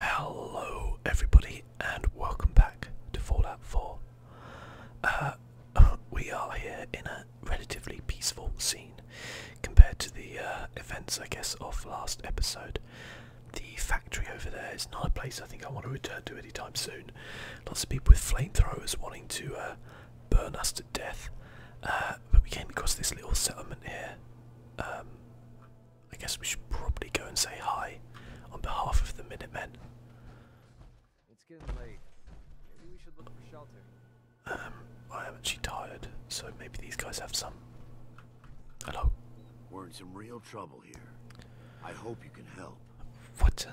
Hello everybody and welcome back to Fallout 4. Uh, we are here in a relatively peaceful scene compared to the uh, events I guess of last episode. The factory over there is not a place I think I want to return to anytime soon. Lots of people with flamethrowers wanting to uh, burn us to death. but we came across this little settlement here. Um, I guess we should probably go and say hi on behalf of the Minutemen. It's getting late. Maybe we should look for shelter. Um, I am actually tired, so maybe these guys have some. Hello. We're in some real trouble here. I hope you can help. What?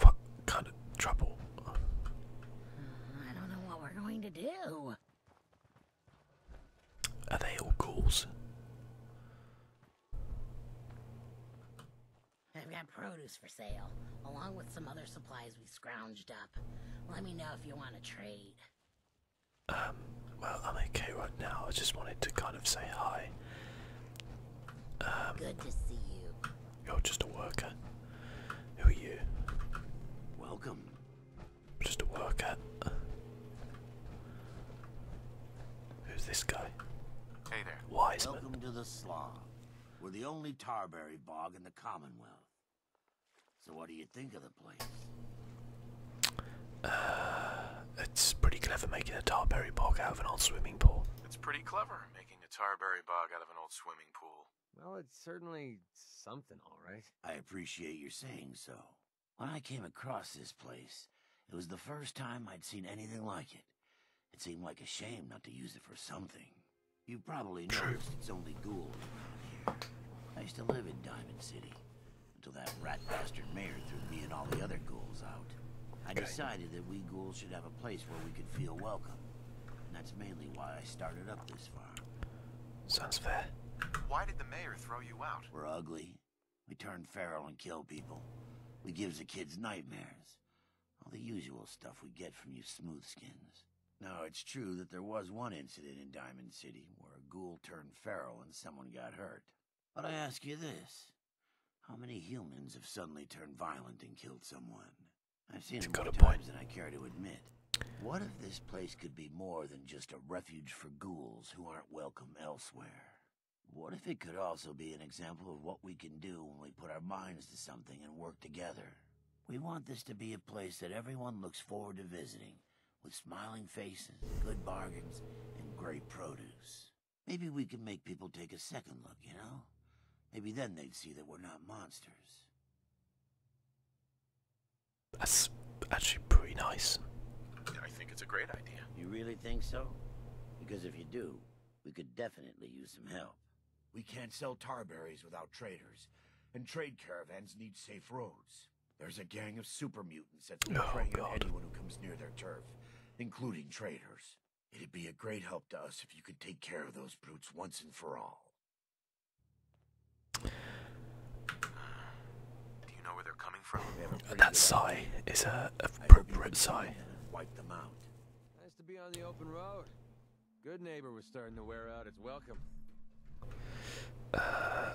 What kind of trouble? Mm, I don't know what we're going to do. Are they all ghouls? I've got produce for sale, along with some other supplies we scrounged up. Let me know if you want to trade. Um, well, I'm okay right now. I just wanted to kind of say hi. Um, Good to see you. You're just a worker. Who are you? Welcome just a work Who's this guy? Hey there. Wiseman. Welcome to the Slaw. We're the only Tarberry bog in the Commonwealth. So what do you think of the place? Uh, it's pretty clever making a Tarberry bog out of an old swimming pool. It's pretty clever making a Tarberry bog out of an old swimming pool. Well, it's certainly something, all right. I appreciate your saying so. When I came across this place, it was the first time I'd seen anything like it. It seemed like a shame not to use it for something. You probably noticed it's only ghouls around here. I used to live in Diamond City, until that rat bastard mayor threw me and all the other ghouls out. I decided that we ghouls should have a place where we could feel welcome. And that's mainly why I started up this farm. Sounds fair. Why did the mayor throw you out? We're ugly. We turn feral and kill people. We give the kids nightmares. All the usual stuff we get from you smoothskins. Now, it's true that there was one incident in Diamond City where a ghoul turned feral and someone got hurt. But I ask you this. How many humans have suddenly turned violent and killed someone? I've seen it more times than I care to admit. What if this place could be more than just a refuge for ghouls who aren't welcome elsewhere? What if it could also be an example of what we can do when we put our minds to something and work together? We want this to be a place that everyone looks forward to visiting, with smiling faces, good bargains, and great produce. Maybe we can make people take a second look, you know? Maybe then they'd see that we're not monsters. That's actually pretty nice. I think it's a great idea. You really think so? Because if you do, we could definitely use some help. We can't sell tarberries without traders, and trade caravans need safe roads. There's a gang of super mutants that's been oh, on anyone who comes near their turf, including traders. It'd be a great help to us if you could take care of those brutes once and for all. That sigh is an appropriate sigh. Nice to be on the open road. Good neighbor was starting to wear out. It's welcome. Uh,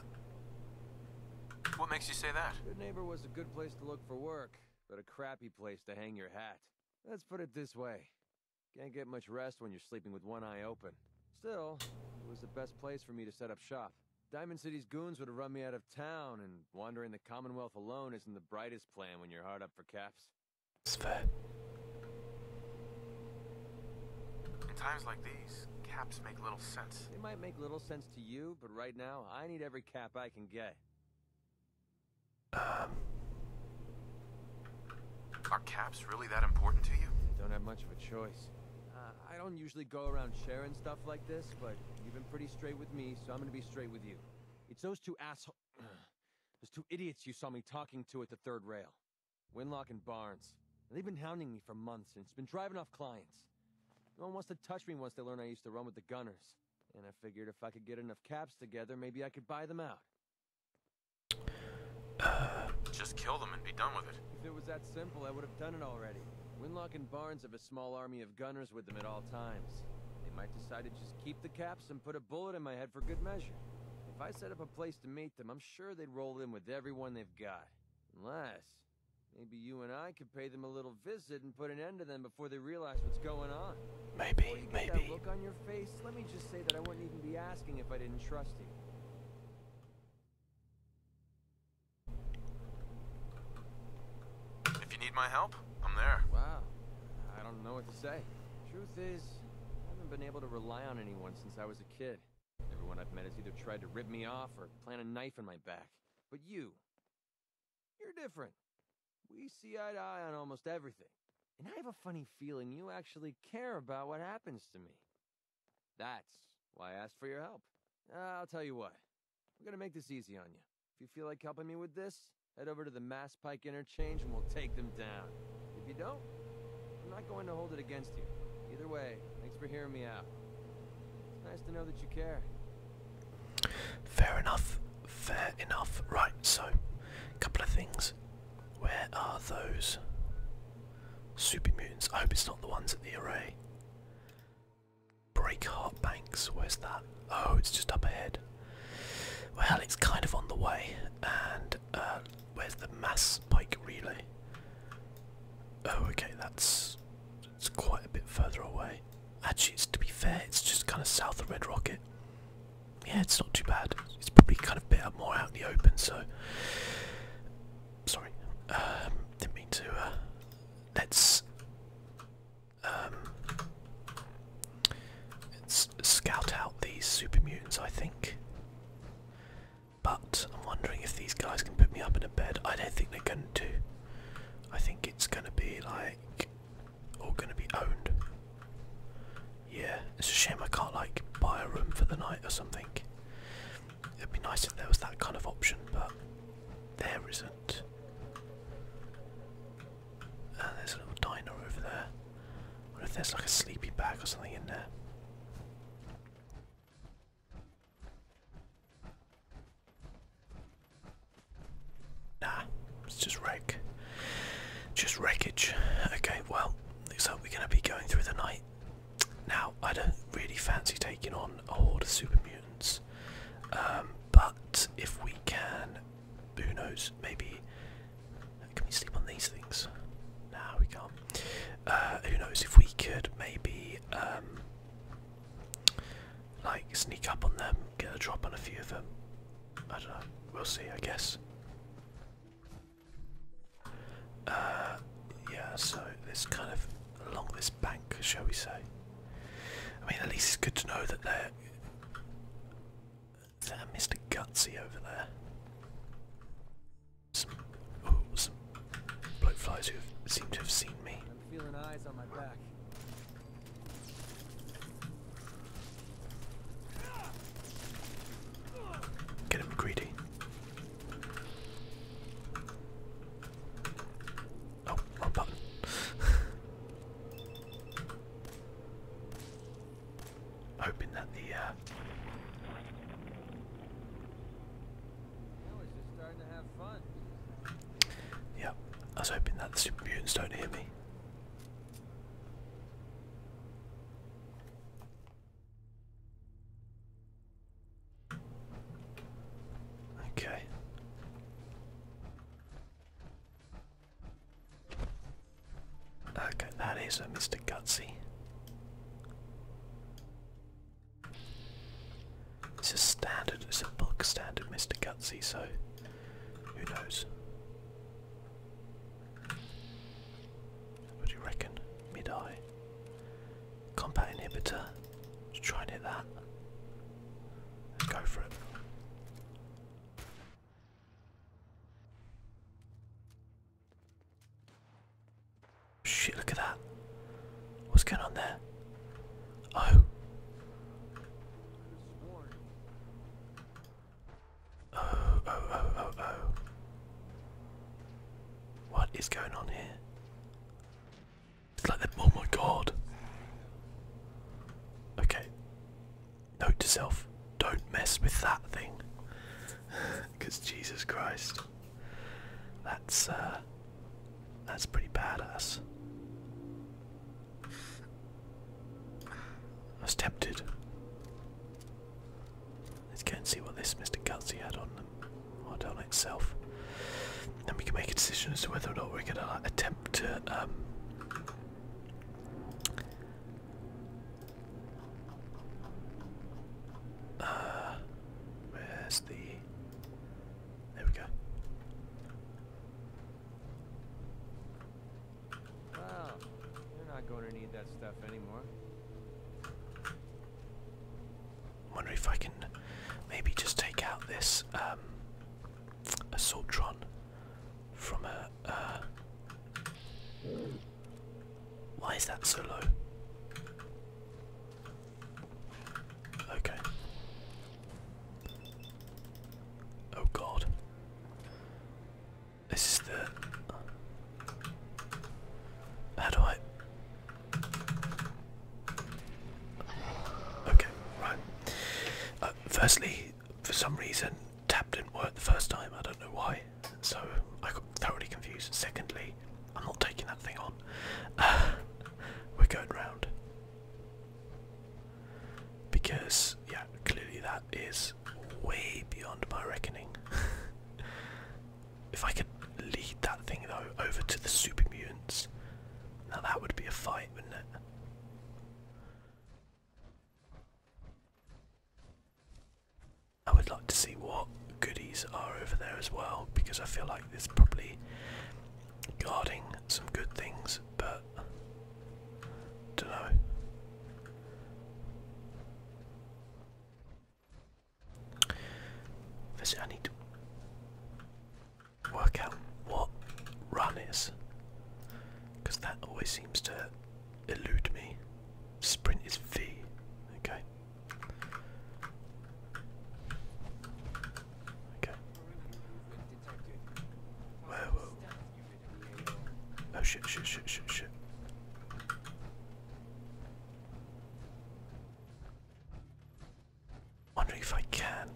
what makes you say that? Good neighbor was a good place to look for work, but a crappy place to hang your hat. Let's put it this way. Can't get much rest when you're sleeping with one eye open. Still, it was the best place for me to set up shop. Diamond City's goons would have run me out of town, and wandering the Commonwealth alone isn't the brightest plan when you're hard up for caps. It's In times like these, caps make little sense. They might make little sense to you, but right now, I need every cap I can get. Um... Are caps really that important to you? don't have much of a choice. Uh, I don't usually go around sharing stuff like this, but you've been pretty straight with me, so I'm gonna be straight with you. It's those two assholes, those two idiots you saw me talking to at the third rail. Winlock and Barnes. They've been hounding me for months, and it's been driving off clients. No one wants to touch me once they learn I used to run with the Gunners. And I figured if I could get enough caps together, maybe I could buy them out. Just kill them and be done with it. If it was that simple, I would have done it already. Winlock and Barnes have a small army of gunners with them at all times. They might decide to just keep the caps and put a bullet in my head for good measure. If I set up a place to meet them, I'm sure they'd roll in with everyone they've got. Unless, maybe you and I could pay them a little visit and put an end to them before they realize what's going on. Maybe, maybe. That look on your face, let me just say that I wouldn't even be asking if I didn't trust you. If you need my help, I'm there. Wow. I don't know what to say. Truth is, I haven't been able to rely on anyone since I was a kid. Everyone I've met has either tried to rip me off or plant a knife in my back. But you, you're different. We see eye to eye on almost everything. And I have a funny feeling you actually care about what happens to me. That's why I asked for your help. I'll tell you what, I'm gonna make this easy on you. If you feel like helping me with this, head over to the Mass Pike interchange and we'll take them down. If you don't, I'm not going to hold it against you. Either way, thanks for hearing me out. It's nice to know that you care. Fair enough, fair enough. Right, so, a couple of things. Where are those super mutants? I hope it's not the ones at the array. Breakheart Banks, where's that? Oh, it's just up ahead. Well, it's kind of on the way. And uh, where's the mass pike relay? Oh, okay, that's it's quite a bit further away. Actually, it's, to be fair, it's just kind of south of Red Rocket. Yeah, it's not too bad. It's probably kind of bit more out in the open, so Sorry, um, didn't mean to. Uh, let's um, let's scout out these super mutants. I think, but I'm wondering if these guys can put me up in a bed. I don't think they're going to. I think it's going to be like all going to be owned. Yeah, it's a shame I can't like buy a room for the night or something. It'd be nice if there was that kind of option, but there isn't. Uh, there's a little diner over there. Or if there's like a sleepy bag or something in there. Nah, it's just wreck. Just wreckage. Okay, well, looks like we're going to be going through the night now I don't really fancy taking on a horde of super mutants, um, but if we can, who knows, maybe. Can we sleep on these things? Now we can uh, who knows if we could maybe um, like sneak up on them, get a drop on a few of them. I don't know. We'll see, I guess. Uh, yeah. So this kind of along this bank, shall we say? I mean, at least it's good to know that they're. Mr. Gutsy over there? Some, oh, some bloke flies who seem to have seen me. I'm feeling eyes on my back. Get him greedy. Oh, that the uh I was I was hoping that the super mutants don't hear me. Okay. Okay, that is a Mr. Gutsy. It's a standard, it's a bulk standard Mr. Gutsy, so who knows? What do you reckon? Mid-eye. Combat inhibitor. Let's try and hit that. Let's go for it. Shit, look at that. What's going on there? Oh, oh, oh, oh, oh. oh. What is going on here? It's like, oh my god. Okay. Note to self, don't mess with that thing. Because Jesus Christ. That's, uh, that's pretty badass. I was tempted. Let's go and see what this Mr. Gutsy had on them. Hardona itself. Then we can make a decision as to whether or not we're going to attempt to um, uh, where's the there we go. Wow, you're not going to need that stuff anymore wonder if I can maybe just take out this um, assaultron from a. Uh, why is that so low? Okay. Oh god. This is the. How do I. Okay, right. Uh, firstly, for some reason, tap didn't work the first time. I don't know why, so I got thoroughly confused. Secondly, I'm not taking that thing on. we're going round because, yeah, clearly that is way beyond my reckoning. if I could lead that thing though over to the super mutants now that would be a fight, wouldn't it? I would like to see what goodies are over there as well, because I feel like there's probably guarding some good things, but don't know. I work out what run is. Because that always seems to elude me. Sprint is V. Okay. Okay. Oh shit, shit, shit, shit, shit. Wonder if I can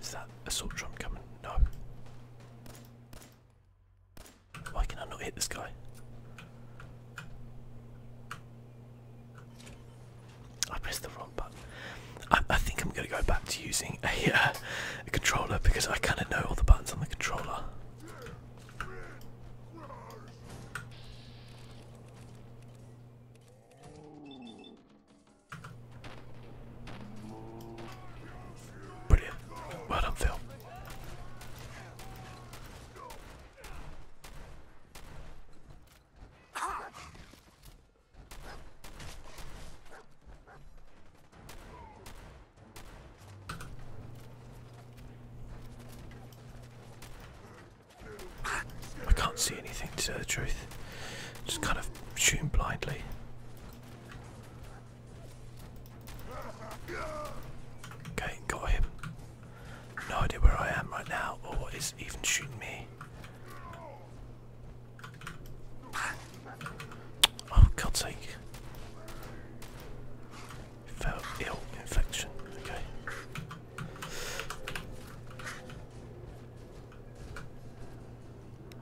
Is that assault drum coming? No. Why can I not hit this guy? I pressed the wrong button. I, think I'm going to go back to using a, uh, controller because I kind of know all the buttons on the controller. Brilliant. Well done, I can't see anything to tell the truth. Just kind of shooting blindly. Okay, got him. No idea where I am right now or what is even shooting me. Oh, God's sake. Felt ill infection. Okay.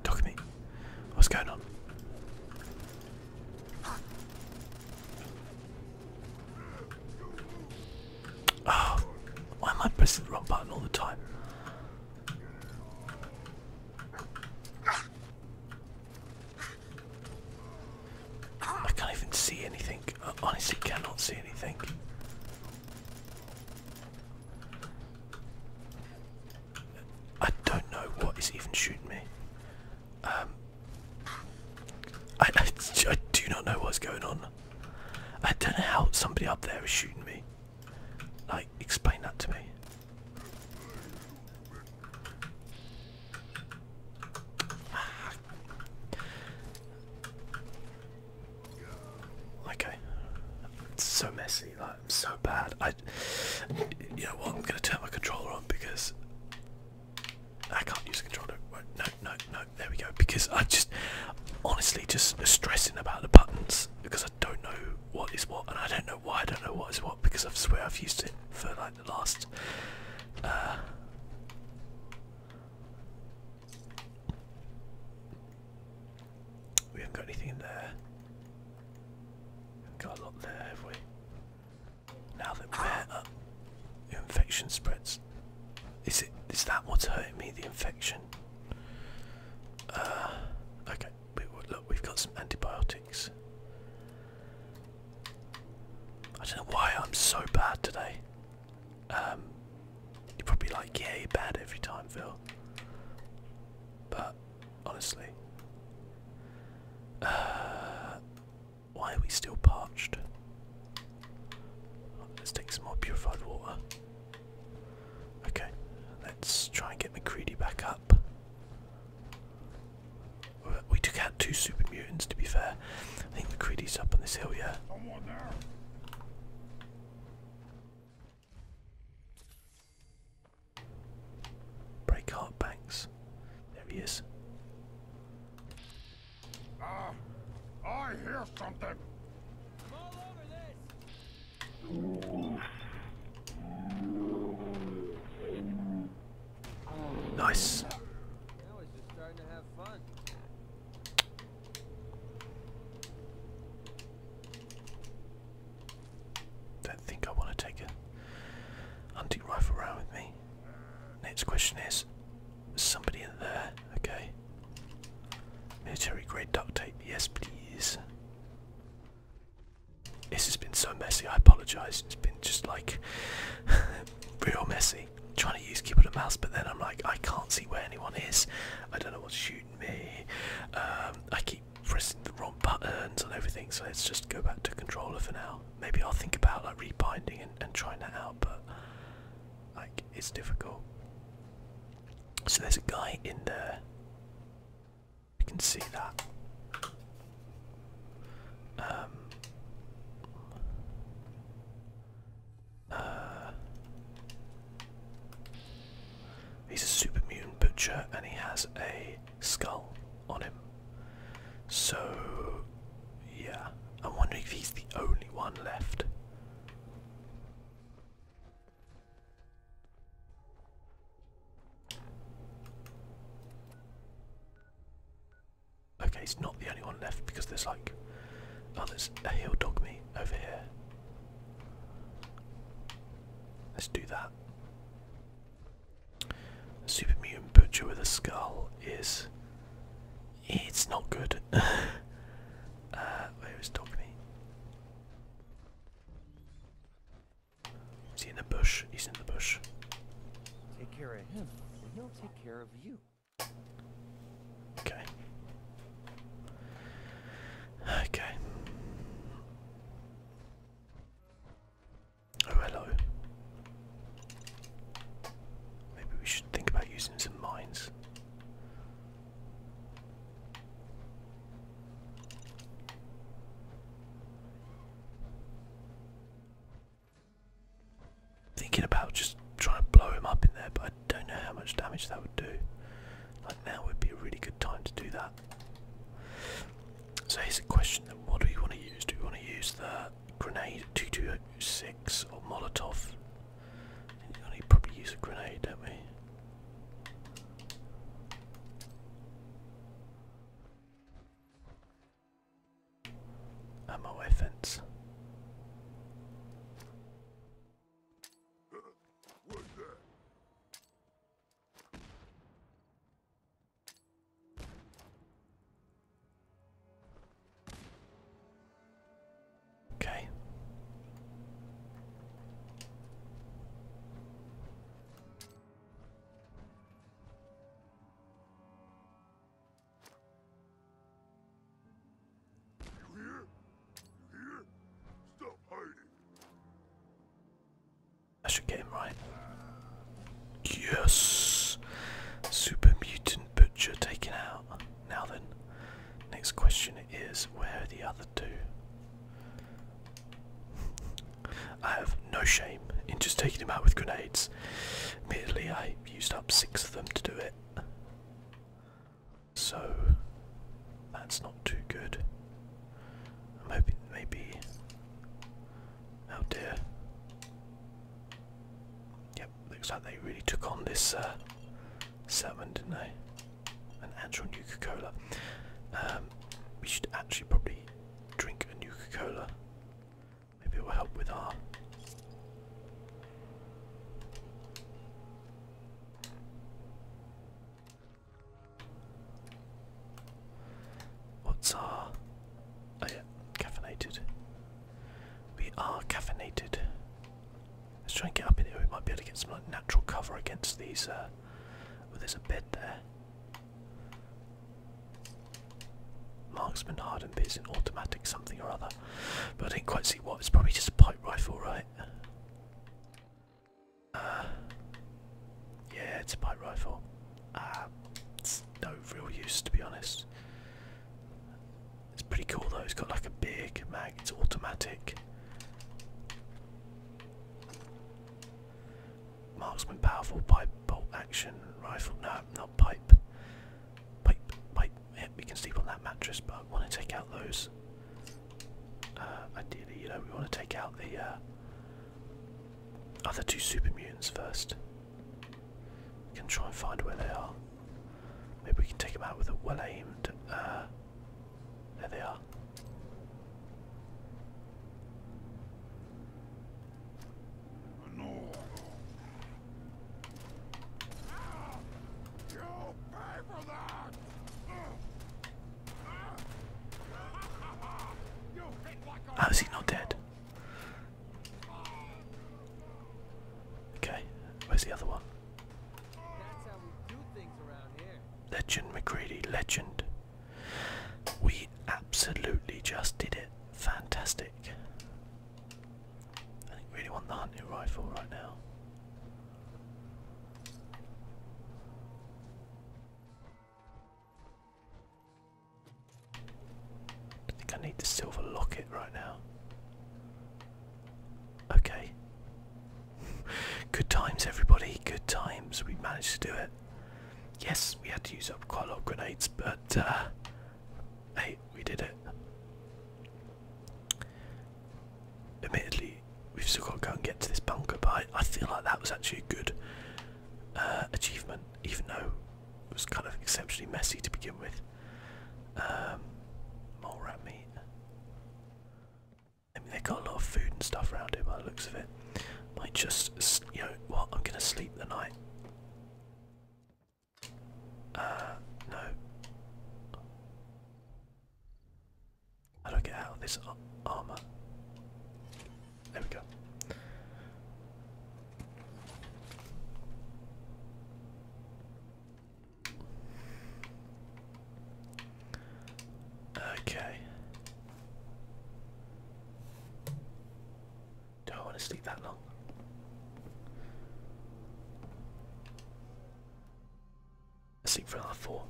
Talk to me. What's going on? Oh, why am I pressing the wrong button all the time? I can't even see anything. honestly cannot see anything. I don't know what is even shooting me. Um, I, I do not know what's going on. I don't know how somebody up there is shooting me. Like, explain that to me. Okay, it's so messy. Like, I'm so bad. I, you know what? I'm gonna turn my controller on because I can't use the controller. No, no, no. There we go. Because I just, honestly, just stressing about the buttons because I. I don't know what is what, and I don't know why I don't know what is what because I swear I've used it for like the last uh, we haven't got anything in there. We have got a lot there, have we? Now that we're up, the infection spreads. Is it is that what's hurting me? The infection. Uh, okay, we, look, we've got some antibiotics. I don't know why I'm so bad today. Um, you're probably like, yeah, you're bad every time, Phil. But honestly, uh, why are we still parched? Let's take some more purified water. Okay, let's try and get McCready back up. We took out two super mutants to be fair. I think McCready's up on this hill, yeah. Break heart banks. There he is. Ah, I hear something. All over this. Nice. Don't think I want to take a hunting rifle around with me. Next question is, is somebody in there? Okay. Military grade duct tape, yes please. This has been so messy, I apologise. It's been just like real messy. trying to use keyboard and mouse, but then I'm like, I can't see where anyone is. I don't know what's shooting me. Um, I keep pressing the wrong buttons and everything, so let's just go back to controller for now. Maybe I'll think about like rebinding and, and trying that out, but like it's difficult. So there's a guy in there. You can see that. Um, uh, he's a super mutant butcher and he has a skull on him. So, yeah. I'm wondering if he's the only one left. Okay, it's not the only one left because there's like, oh, there's a hill dog meat over here. Let's do that. Super mutant butcher with a skull is. It's not good. Uh, where is dog is he in the bush? He's in the bush. Take care of him, and he'll take care of you. Okay. Okay. Oh, hello. Maybe we should think about using some mines. Thinking about just trying to blow him up in there, but I don't know how much damage that would do. Like now would be a really good time to do that. So here's the question then what do we want to use? Do we want to use the grenade 2206 or Molotov? You probably use a grenade, don't we? I'm MOA fence. Okay. I should get him right. Yes! Super Mutant Butcher taken out. Now then, next question is where are the other other I have no shame in just taking him out with grenades. Admittedly, I used up six of them to do it. So that's not too good. I'm hoping maybe. Oh dear. Yep, looks like they really took on this uh, didn't they? an actual coca Cola. Um, we should actually probably drink a coca Cola. Maybe it will help with our. What's our. Oh, yeah, caffeinated. We are caffeinated. Let's try and get up in here. We might be able to get some like natural cover against these uh, Oh, there's a bed there. Marksman hardened piece an automatic something or other. But I didn't quite see what. It's probably just a pipe rifle, right? Uh, yeah, it's a pipe rifle. Uh, it's no real use to be honest. It's pretty cool though, it's got like a big mag, it's automatic. Marksman powerful pipe bolt action rifle. No, not pipe. Pipe, pipe. Yeah, we can sleep on that mattress, but I want to take out those. Uh, ideally, you know, we want to take out the uh, other two super mutants first. We can try and find where they are. Maybe we can take them out with a well-aimed. Uh, there they are. No. you pay for that. How is he not dead? Okay, where's the other one? Legend Macready, legend. We absolutely just did it. Fantastic. I think really want the hunting rifle right now. I think I need the silver locket right now. Okay. Good times, everybody. Good times. We managed to do it. Yes, we had to use up quite a lot of grenades, but uh, hey, we did it. Admittedly, we've still got to go and get to this bunker, but I, feel like that was actually a good uh, achievement, even though it was kind of exceptionally messy to begin with. Um, rat meat. I mean, they've got a lot of food and stuff around it. by the looks of it. Might just, you know what, I'm going to sleep the night. Uh, no. How do I get out of this armour? There we go. Okay. Do I want to sleep that long? I sleep for another four.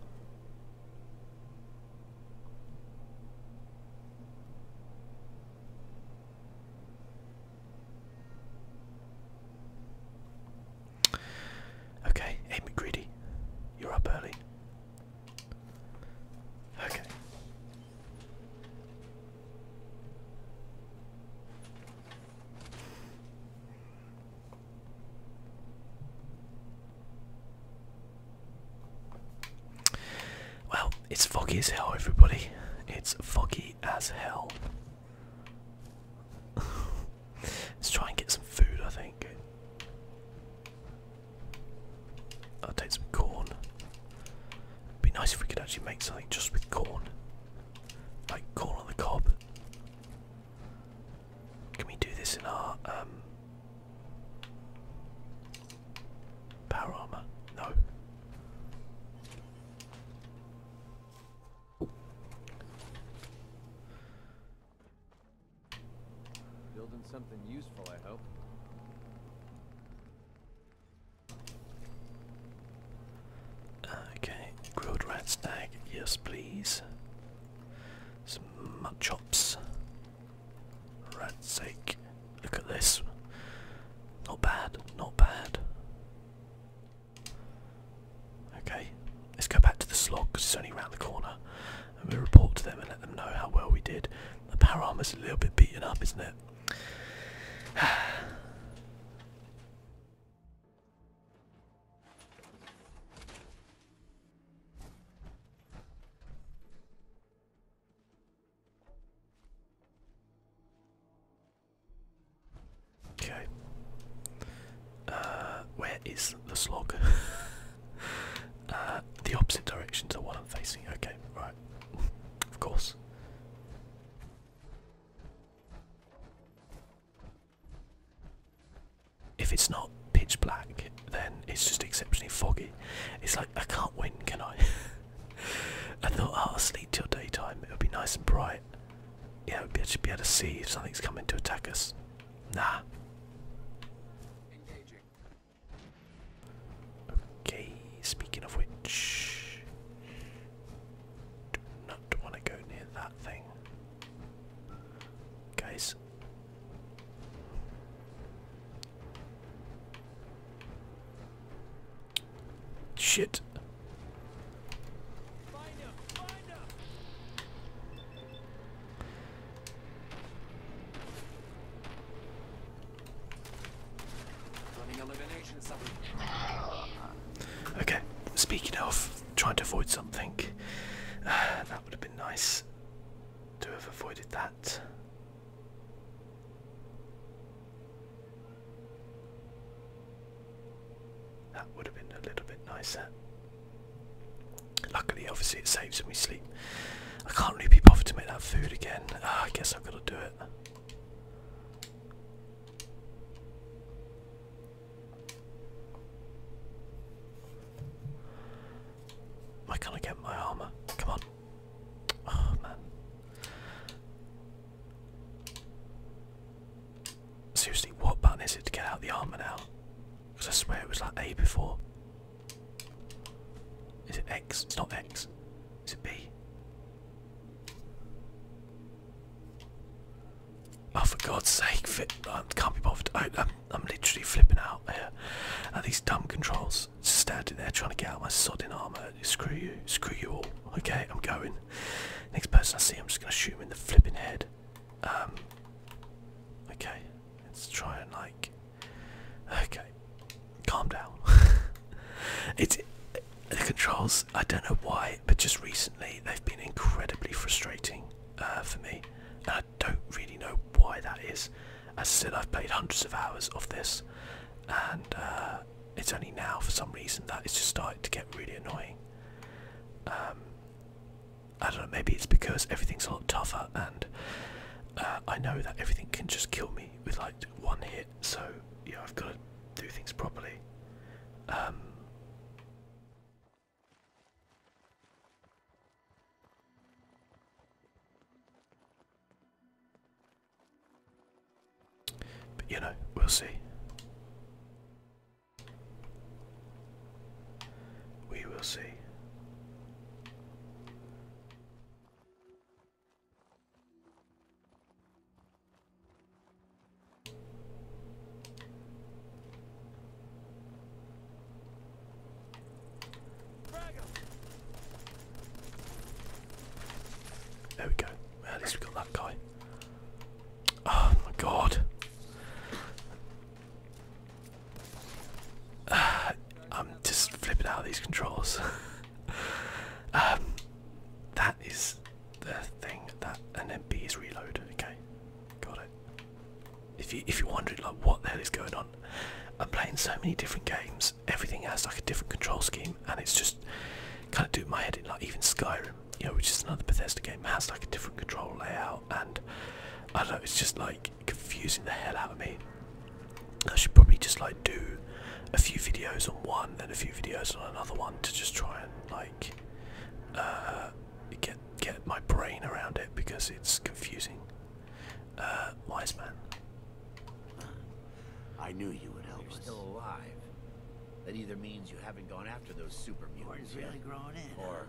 Okay, hey McGreedy, you're up early. Okay. Well, it's foggy as hell, everybody. It's foggy as hell. Let's try and get some food, I think. I'll take some corn. It'd be nice if we could actually make something just with corn. Like corn on the cob. Can we do this in our um, power armor? No. Building something useful, I hope. Okay, grilled rat stag, yes please. Some mutton chops. Rat's sake. Look at this. Not bad, not bad. Okay, let's go back to the slog because it's only round the corner and we report to them and let them know how well we did. The power armor's a little bit beaten up, isn't it? Okay. Uh, where is the slog? Uh, the opposite direction to the one I'm facing. Okay, right. of course. If it's not pitch black, then it's just exceptionally foggy. It's like, I can't win, can I? I thought, oh, I'll sleep till daytime. It'll be nice and bright. Yeah, I should be able to see if something's coming to attack us. Nah. Okay, speaking of which, do not want to go near that thing. Guys. Shit. Okay, speaking of trying to avoid something, that would have been nice to have avoided that. That would have been a little bit nicer. Luckily, obviously, it saves me sleep. I can't really be bothered to make that food again. Ah, I guess I've got to do it. Why can I get my armor? Come on. Oh, man. Seriously, what button is it to get out the armor now? Because I swear it was like A before. Is it X? It's not X. Is it B? Oh, for God's sake! Fit, I can't be bothered. I, am I'm literally flipping out here at these dumb controls. Standing there trying to get out my sodding armor. Screw you! Screw you all! Okay, I'm going. Next person I see, I'm just gonna shoot him in the flipping head. Um. Okay. Let's try and like. Okay, calm down. it's the controls. I don't know why, but just recently they've been incredibly frustrating uh, for me, and I don't really know why that is. As I said, I've played hundreds of hours of this, and uh, it's only now for some reason that it's just started to get really annoying. Um, I don't know, maybe it's because everything's a lot tougher and uh, I know that everything can just kill me with like one hit, so yeah, I've got to do things properly. Um, but you know, we'll see. We will see. There we go. at least we got that guy. Oh my god. I'm just flipping out of these controls. Um, that is the thing that and then B is reload. Okay, got it. If you if you're wondering like what the hell is going on, I'm playing so many different games. Everything has like a different control scheme, and it's just kind of doing my head in. Like even Skyrim, you which is another Bethesda game, has like a different control layout, and I don't know. It's just like confusing the hell out of me. I should probably just like do a few videos on one then a few videos on another one to just try and like uh, get get my brain around it because it's confusing. Uh, wise man. I knew you would help You're us. Still alive. That either means you haven't gone after those super mutants yet, or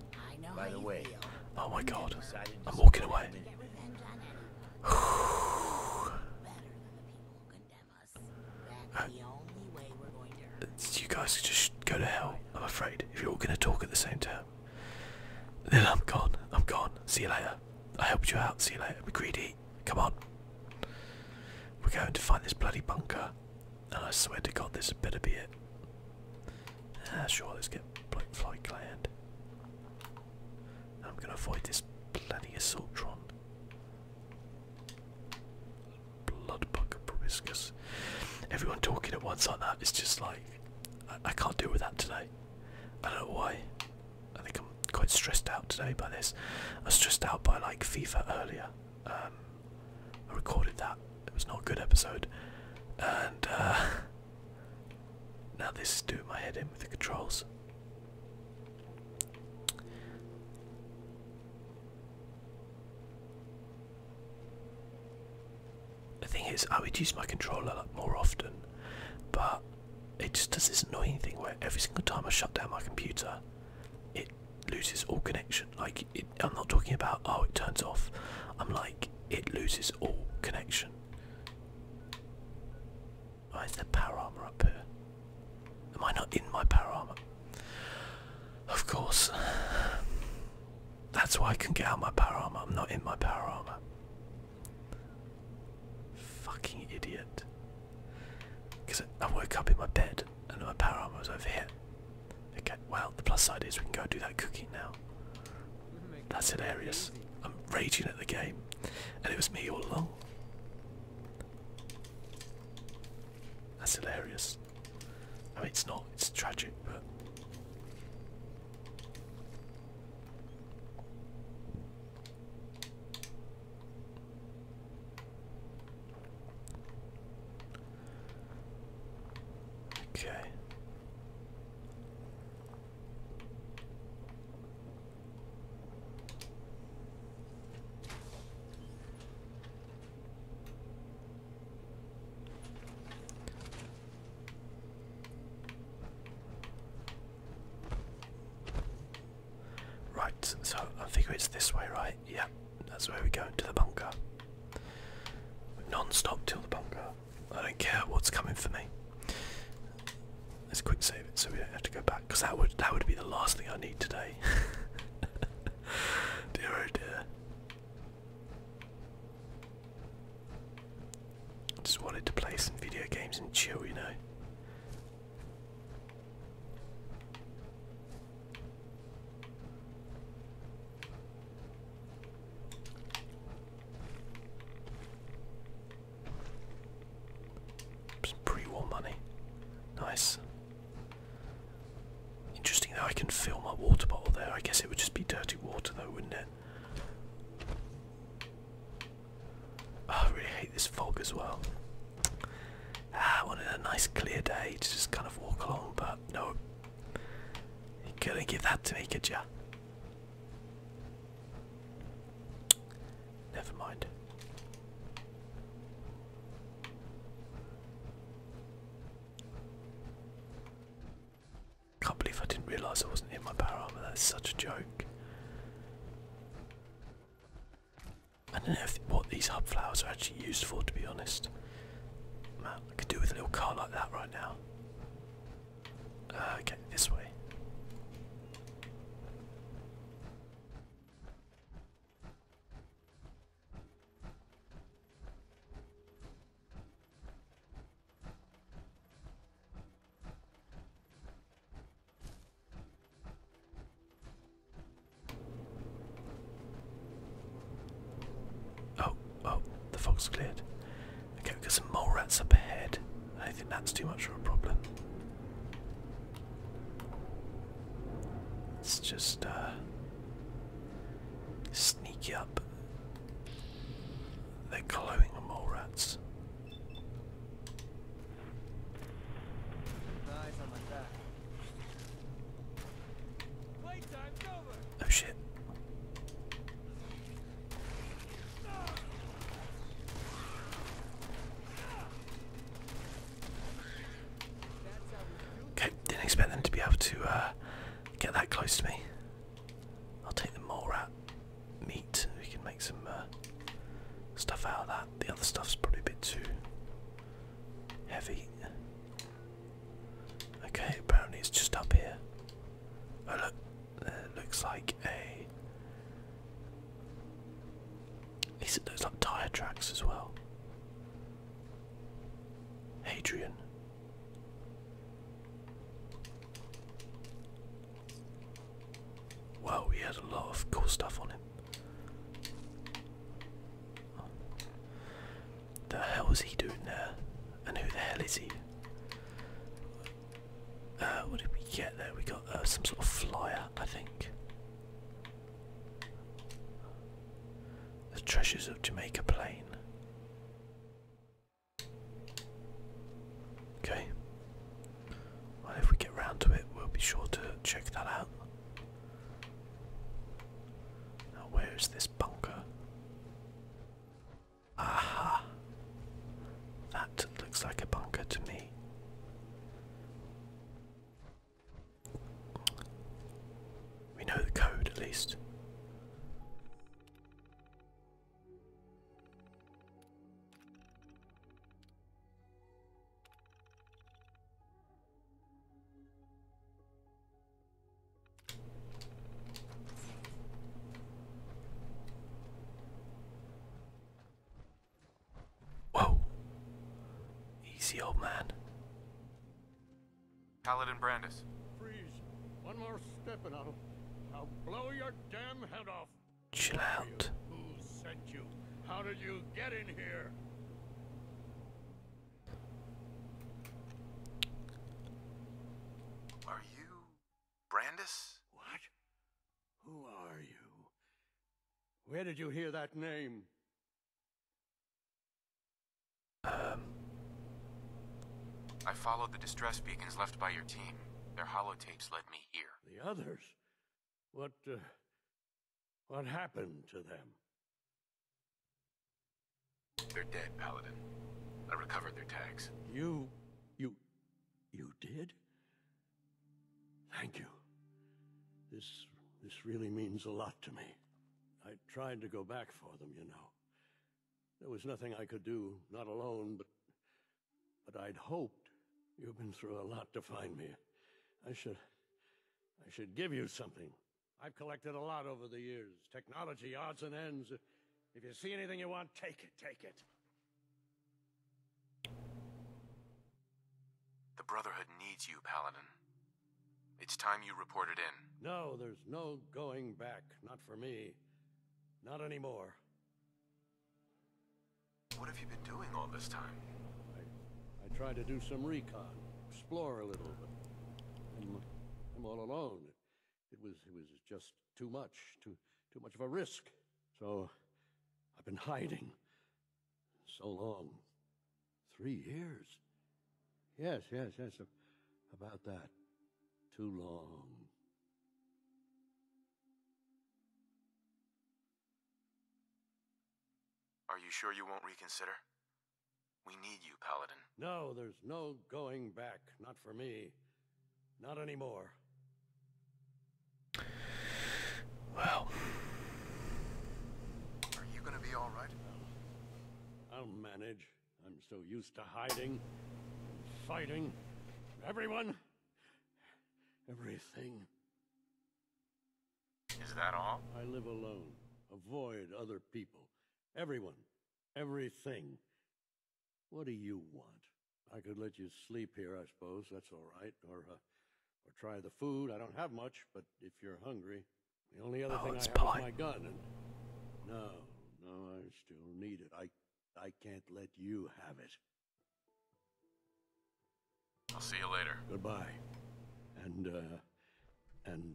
By the way, oh my god, I'm walking away. uh, you guys just go to hell, I'm afraid, if you're all going to talk at the same time. Then I'm gone, I'm gone. See you later. I helped you out, see you later. We're greedy. Come on. We're going to find this bloody bunker. I swear to God, this better be it. Ah, sure, let's get Flight Gland. I'm gonna avoid this bloody Assaultron. Bloodbug proboscis. Everyone talking at once like that is just like, I, can't deal with that today. I don't know why. I think I'm quite stressed out today by this. I was stressed out by like FIFA earlier. Um, I recorded that. It was not a good episode. And uh, now this is doing my head in with the controls. The thing is, I would use my controller like, more often, but it just does this annoying thing where every single time I shut down my computer, it loses all connection. Like, I'm not talking about, oh, it turns off. I'm like, it loses all connection. Why is there power armor up here? Am I not in my power armor? Of course. That's why I can get out my power armor. I'm not in my power armor. Fucking idiot. Because I woke up in my bed and my power armor was over here. Okay, well, the plus side is we can go do that cooking now. That's hilarious. I'm raging at the game. And it was me all along. That's hilarious. I mean, it's not, it's tragic, but. Okay. Right, so I figure it's this way, right? Yeah, that's where we go, to the bunker. Non-stop till the bunker. I don't care what's coming for me. Let's quick save it so we don't have to go back, because that would that would be the last thing I need today. dear oh dear. Just wanted to play some video games and chill, you know pre-war money. Nice. Interesting that I can fill my water bottle there. I guess it would just be dirty water though, wouldn't it? Ah, I really hate this fog as well. Ah, I wanted a nice clear day to just kind of walk along, but no, you are gonna give that to me, could you? Never mind. Can't believe I didn't realise I wasn't in my power armor. That's such a joke. I don't know if, what these hub flowers are actually used for, to be honest. Man, I could do with a little car like that right now. okay, uh, this way. Oh, Oh, the fox cleared. Okay, we've got some mole rats up ahead. I think that's too much of a problem. Let's just uh, sneak up. They're glowing mole rats. Eyes on my back. Playtime, go! Oh shit. Okay, didn't expect them to be able to uh, get that close to me. I'll take the mole rat meat. We can make some uh, stuff out of that. The other stuff's probably a bit too heavy. Okay, apparently it's just up here. Oh look, there looks like a. At least it looks like tyre tracks as well. Hadrian. Wow, he had a lot of cool stuff on him. The hell was he doing there? And who the hell is he? Uh, what did we get there? We got uh, some sort of flyer, I think. The treasures of Jamaica Plain. Okay. Well, if we get round to it, we'll be sure to check that out. Now, where is this bunker? Aha. That looks like a bunker to me. We know the code at least. Whoa. Easy, old man. Paladin Brandis. Freeze. One more step and I'll, blow your damn head off. Chill out. Who sent you? How did you get in here? Are you Brandis? What? Who are you? Where did you hear that name? Um. I followed the distress beacons left by your team. Their holotapes led me here. The others? What, uh, what happened to them? They're dead, Paladin. I recovered their tags. You... you... you did? Thank you. This... this really means a lot to me. I tried to go back for them, you know. There was nothing I could do, not alone, but... but I'd hoped. You've been through a lot to find me. I should... I should give you something. I've collected a lot over the years. Technology, odds and ends. If you see anything you want, take it, take it. The Brotherhood needs you, Paladin. It's time you reported in. No, there's no going back. Not for me. Not anymore. What have you been doing all this time? I, tried to do some recon, explore a little, but I'm all alone. It was, it was just too much, too, too much of a risk. So I've been hiding so long. Three years. Yes, yes, yes, about that. Too long. Are you sure you won't reconsider? We need you, Paladin. No, there's no going back. Not for me. Not anymore. Well. Are you gonna be alright? I'll manage. I'm so used to hiding, fighting, everyone, everything. Is that all? I live alone, avoid other people, everyone, everything. What do you want? I could let you sleep here, I suppose. That's all right. Or, uh, or try the food. I don't have much, but if you're hungry, the only other oh, thing I have polite. is my gun. no, no, I still need it. I, I can't let you have it. I'll see you later. Goodbye, and uh, and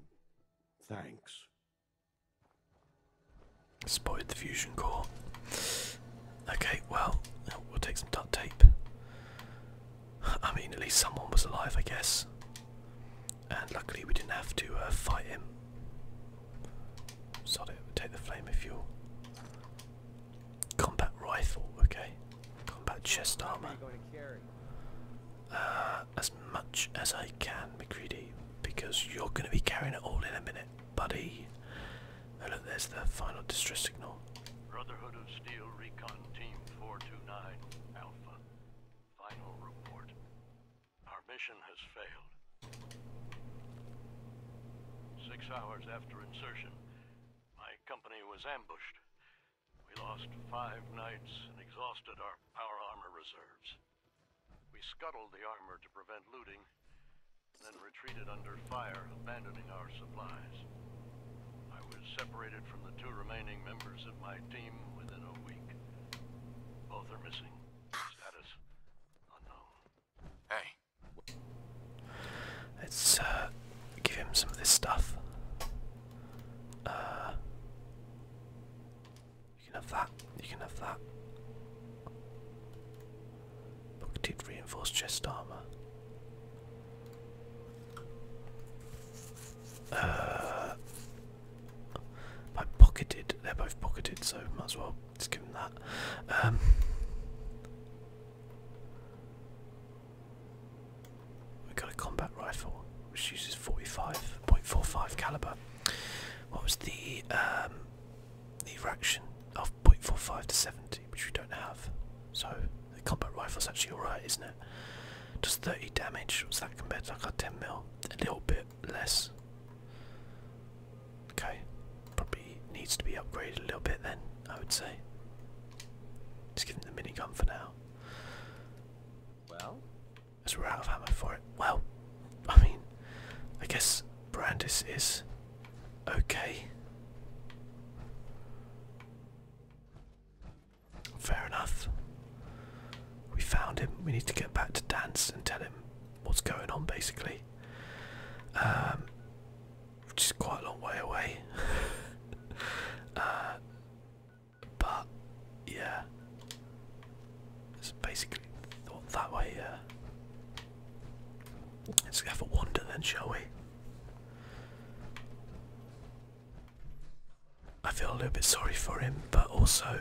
thanks. Spotted the fusion core. Okay, well, we'll take some duct tape. I mean, at least someone was alive, I guess. And luckily, we didn't have to uh, fight him. Sod it, take the flame of fuel. Combat rifle, okay. Combat chest armor. Uh, as much as I can, be greedy, because you're going to be carrying it all in a minute, buddy. Oh there's the final distress signal. Brotherhood of Steel Recon Team 429 Alpha. Final report. Our mission has failed. Six hours after insertion, my company was ambushed. We lost five knights and exhausted our power armor reserves. We scuttled the armor to prevent looting, then retreated under fire, abandoning our supplies. I was separated from the two remaining members of my team within a week. Both are missing. Status unknown. Hey. Let's uh, give him some of this stuff. Uh, you can have that. You can have that. Pocketed reinforced chest armor. Uh, by pocketed, they're both pocketed, so might as well just give them that. Um, we've got a combat rifle, which uses 45.45 caliber. What was the um, the reaction of 0.45 to 70, which we don't have. So the combat rifle is actually alright, isn't it? Does 30 damage, Was that compared to like a 10 mil? A little bit less. Okay, probably needs to be upgraded a little bit then, I would say. Just give him the mini gun for now. Well, as we're out of ammo for it. Well, I mean, I guess Brandis is okay. Fair enough. We found him. We need to get back to Dance and tell him what's going on, basically. Um, which is quite a long way away. Uh, but yeah, it's basically thought that way, Let's have a wander then, shall we? I feel a little bit sorry for him, but also,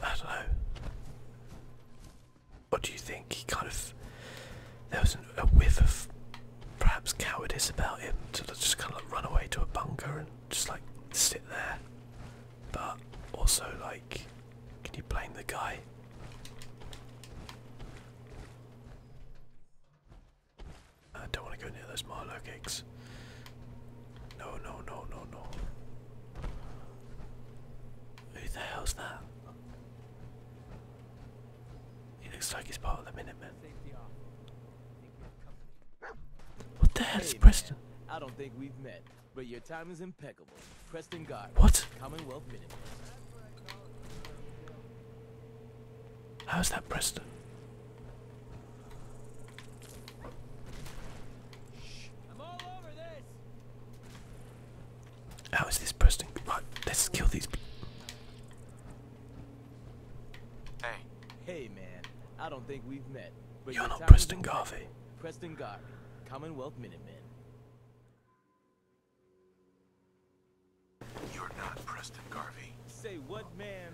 I don't know. What do you think? He kind of, there was a whiff of perhaps cowardice about him to just kind of run away to a bunker and just like sit there but also, like, can you blame the guy? I don't want to go near those Marlow cakes. No, no, no, no, no. Who the hell's that? He looks like he's part of the Minutemen. What the hell is Preston? But your time is impeccable. Preston Guard. What? Commonwealth Minute. How's that Preston? How is this Preston? Right, let's kill these people. Hey. Hey man, I don't think we've met. You're not Preston Garvey. Preston Garvey, Commonwealth Minutemen. You're not Preston Garvey. Say what, man?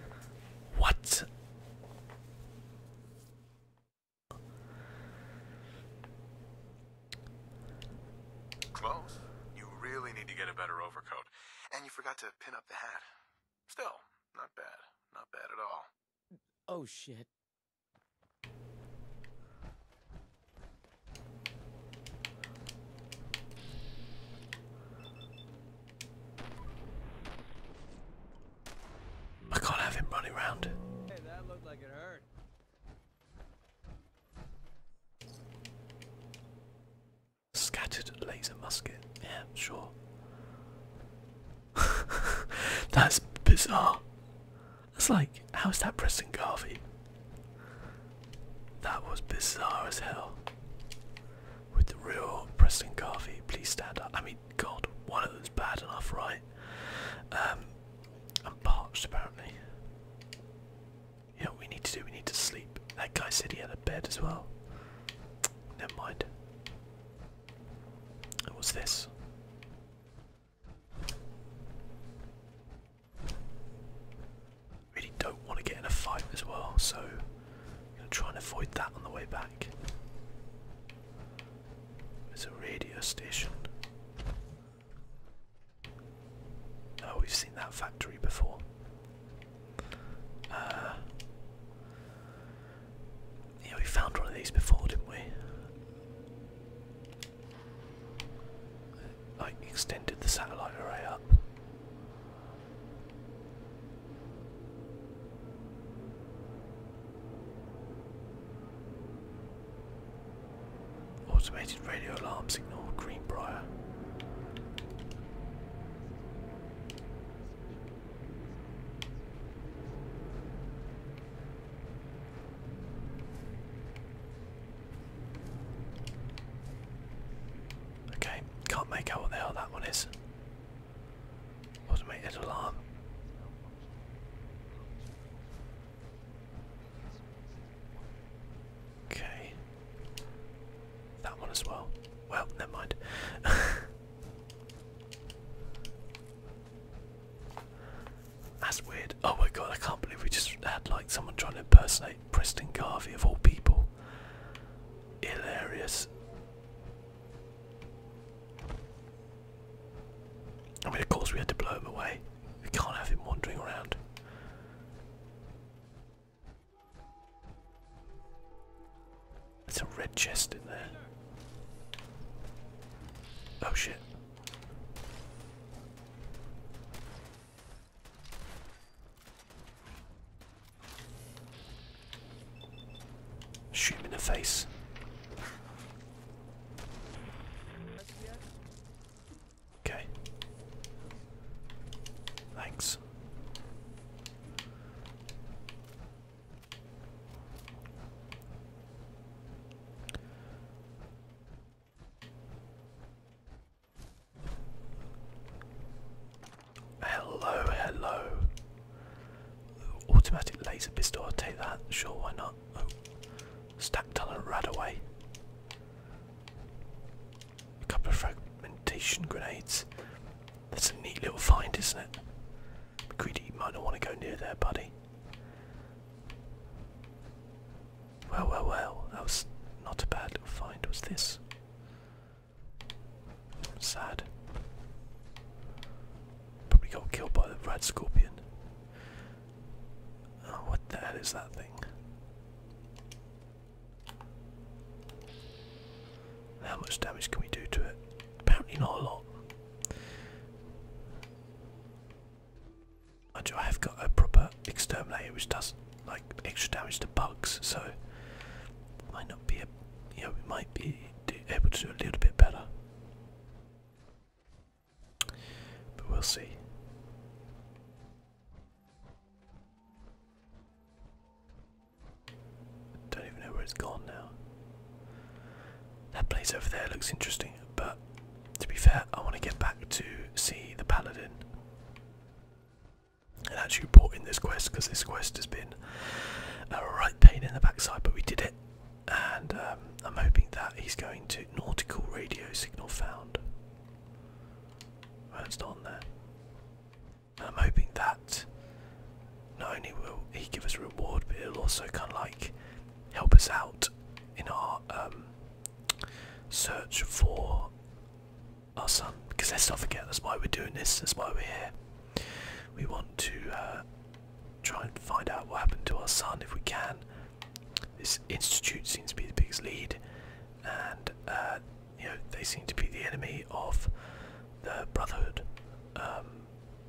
What? Close. You really need to get a better overcoat. And you forgot to pin up the hat. Still, not bad. Not bad at all. Oh, shit. I can't have him running around. Hey, that looked like it hurt. Scattered laser musket. Yeah, sure. That's bizarre. It's like, how is that Preston Garvey? That was bizarre as hell. With the real Preston Garvey, please stand up. I mean, God, one of them's bad enough, right? Um, I'm parched apparently. You we need to do? We need to sleep. That guy said he had a bed as well. Never mind. what's this? Really don't want to get in a fight as well, so I'm going to try and avoid that on the way back. There's a radio station. Oh, we've seen that factory before. Uh, yeah, we found one of these before, didn't we? Like, extended the satellite array up. Automated radio alarm signal, Greenbrier. Okay, can't make out what the hell that one is. Automated alarm. Okay. That one as well. Well, never mind. That's weird. Oh my god, I can't believe we just had like someone trying to impersonate Preston Garvey of all people. Hilarious. I mean, of course, we had to blow him away. We can't have him wandering around. There's a red chest in there. Oh shit. Shoot him in the face. Okay. Thanks. Hello, hello. Automatic laser pistol, I'll take that. Sure, why not? Oh, stack talent right away. A couple of fragmentation grenades. That's a neat little find, isn't it? Greedy, you might not want to go near there, buddy. Well, well, well, that was not a bad little find, was this? Sad. Probably got killed by the red scorpion. Oh, what the hell is that thing? How much damage can we do to it? Apparently not a lot. And I have got a proper exterminator which does like extra damage to bugs, so might not be a we might be able to do a little bit better. But we'll see. Don't even know where it's gone now. That place over there looks interesting, but to be fair, I want to get back to see the paladin. And actually brought in this quest because this quest has been a right pain in the backside, but we did it. And um, I'm hoping that he's going to nautical radio signal found. Well, it's not on there. I'm hoping that not only will he give us a reward, but it'll also kind of like help us out in our um, search for our son. Because let's not forget, that's why we're doing this, that's why we're here. We want to uh, try and find out what happened to our son if we can. This institute seems to be the biggest lead, and uh, you know they seem to be the enemy of the Brotherhood. Um,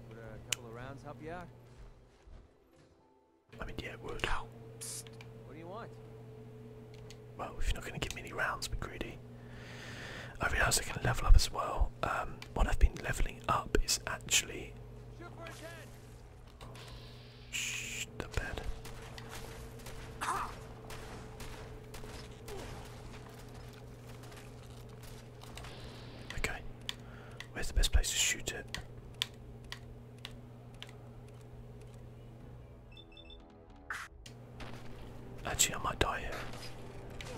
Would a couple of rounds help you out? I mean, yeah, What do you want? Well, if you're not going to give me any rounds, be greedy. I realised I can level up as well. Um, what I've been levelling up is actually. Shh, the bed. Okay. Where's the best place to shoot it? Actually, I might die here.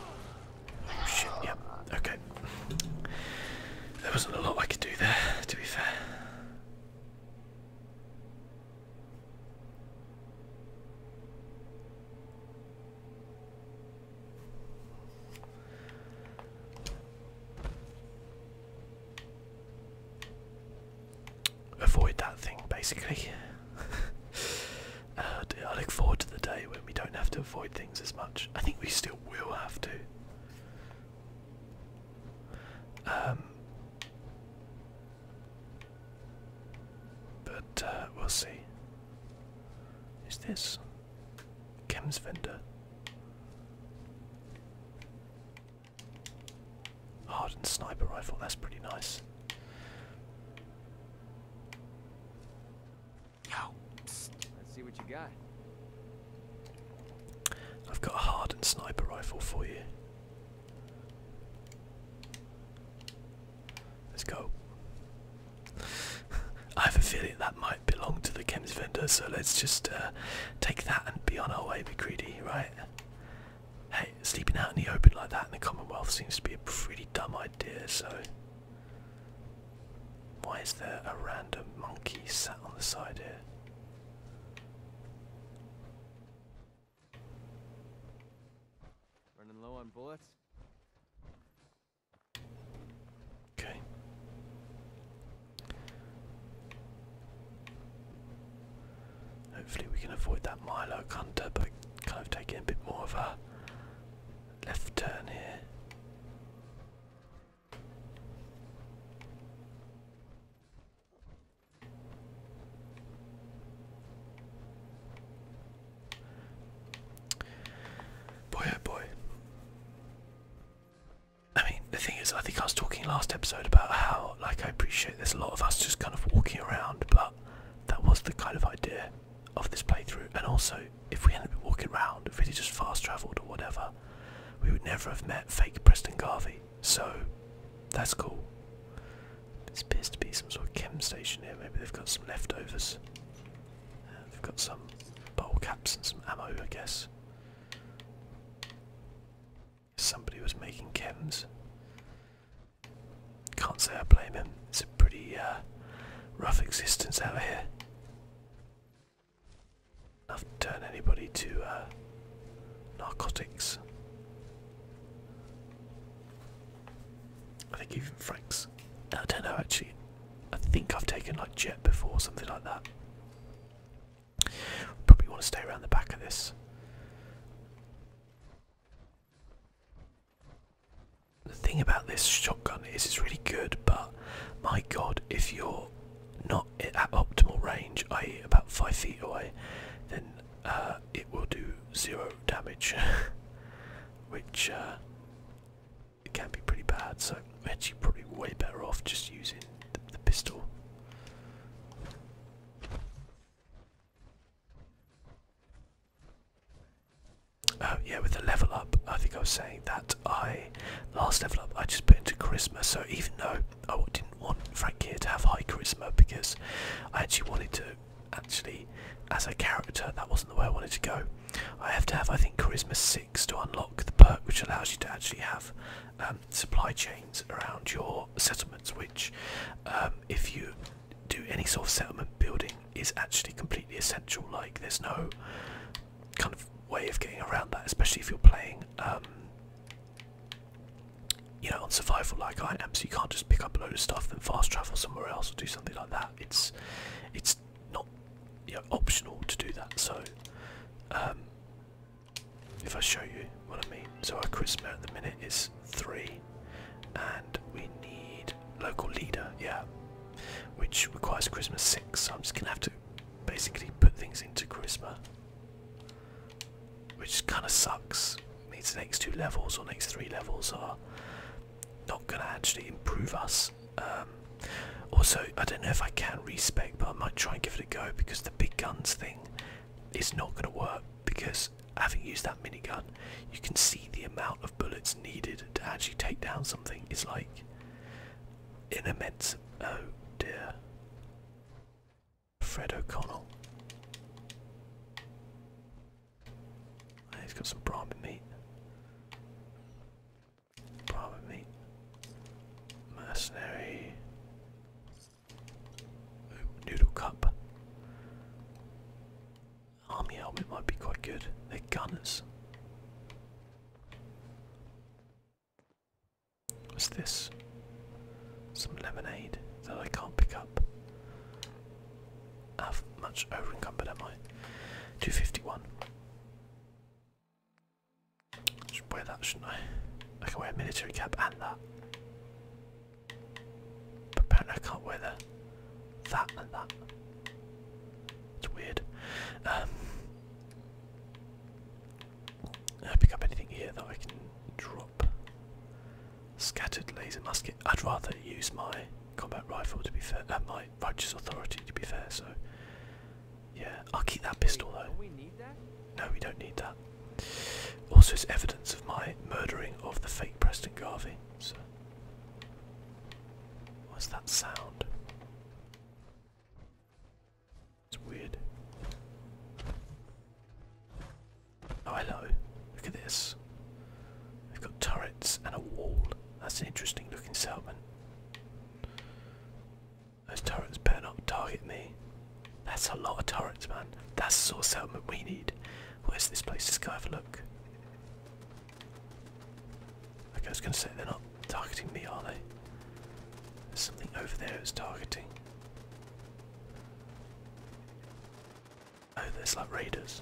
Oh shit, yep, okay. There wasn't a lot I could do there, to be fair. Avoid that thing, basically. I look forward to the day when we don't have to avoid things as much. I think we still will have to. Um, but uh, we'll see. Is this? Chems vendor. Hardened sniper rifle, that's pretty nice. Let's see what you got. I've got a hardened sniper rifle for you. Let's go. I have a feeling that might belong to the chems vendor, so let's just uh, take that and be on our way, Be greedy, right? Hey, sleeping out in the open like that in the Commonwealth seems to be a pretty dumb idea, so... Why is there a random monkey sat on the side here? Running low on bullets? Okay. Hopefully we can avoid that Milo Hunter but kind of taking a bit more of a left turn here. Boy, oh boy. I mean, the thing is, I think I was talking last episode about how, like, I appreciate there's a lot of us just kind of walking around, but that was the kind of idea of this playthrough. And also, if we hadn't been walking around, if we'd just fast travelled or whatever, we would never have met fake Preston Garvey. So, that's cool. This appears to be some sort of chem station here. Maybe they've got some leftovers. Uh, they've got some bottle caps and some ammo, I guess. Somebody was making chems. Can't say I blame him. It's a pretty uh, rough existence out here. Enough to turn anybody to uh, narcotics. I think even Frank's. I don't know actually. I think I've taken like jet before, something like that. Probably want to stay around the back of this. The thing about this shotgun is it's really good, but my god, if you're not at optimal range, i.e., about five feet away, then uh, it will do zero damage, which uh, it can be pretty bad. So I'm actually probably way better off just using the, the pistol. Oh yeah, with the level up, I think I was saying that I last level up I just put into charisma. So even though I didn't want Frank here to have high charisma because I actually wanted to actually as a character that wasn't the way I wanted to go. I have to have, I think, Charisma 6 to unlock the perk, which allows you to actually have um, supply chains around your settlements, which, um, if you do any sort of settlement building, is actually completely essential. Like, there's no kind of way of getting around that, especially if you're playing, um, you know, on survival like I am, so you can't just pick up a load of stuff, and fast travel somewhere else or do something like that. It's it's not you optional to do that. So um, if I show you what I mean, so our quit smell at the minute is three, and we need local leader, yeah, which requires Christmas six. So I'm just gonna have to basically put things into Christmas, which kind of sucks. It means the next two levels or next three levels are not gonna actually improve us um, also, I don't know if I can respec, but I might try and give it a go because the big guns thing is not going to work. Because having used that minigun, you can see the amount of bullets needed to actually take down something is like an immense. Oh dear. Fred O'Connell. He's got some brahmin meat. Probably. Mercenary. noodle cup. Army helmet might be quite good. They're gunners. What's this? Some lemonade that I can't pick up. i How much overencumbered, am I? 251. Should wear that, shouldn't I? I can wear a military cap and that. apparently I can't wear the that and that. It's weird. Um pick up anything here that I can drop. Scattered laser musket. I'd rather use my combat rifle to be fair, uh, my righteous authority to be fair, so yeah, I'll keep that pistol though. No, we don't need that. Also, it's evidence of my murdering of the fake Preston Garvey. So, what's that sound? It's weird. Oh, hello. Look at this. They've got turrets and a wall. That's an interesting looking settlement. Those turrets better not target me. That's a lot of turrets, man. That's the sort of settlement we need. Where's this place? Let's go have a look. I was going to say they're not targeting me, are they? There's something over there that's targeting. Oh, there's like raiders.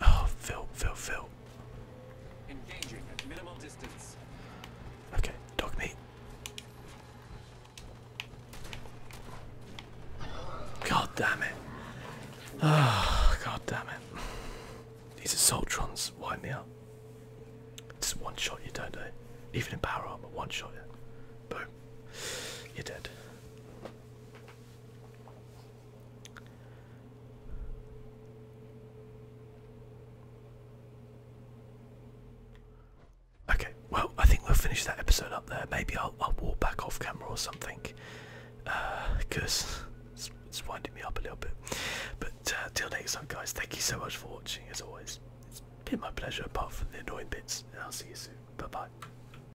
Oh, Phil, Phil, Phil. Engaging at minimal distance. Okay, dog meat. God damn it. Oh, god damn it. These assault trons, wipe me up. Just one shot you don't do. Even in power armor, one shot you. Boom. You're dead. Okay, well, I think we'll finish that episode up there. Maybe I'll, walk back off camera or something because uh, it's, winding me up a little bit. But uh, till next time, guys, thank you so much for watching as always. It's been my pleasure, apart from the annoying bits, and I'll see you soon. Bye bye.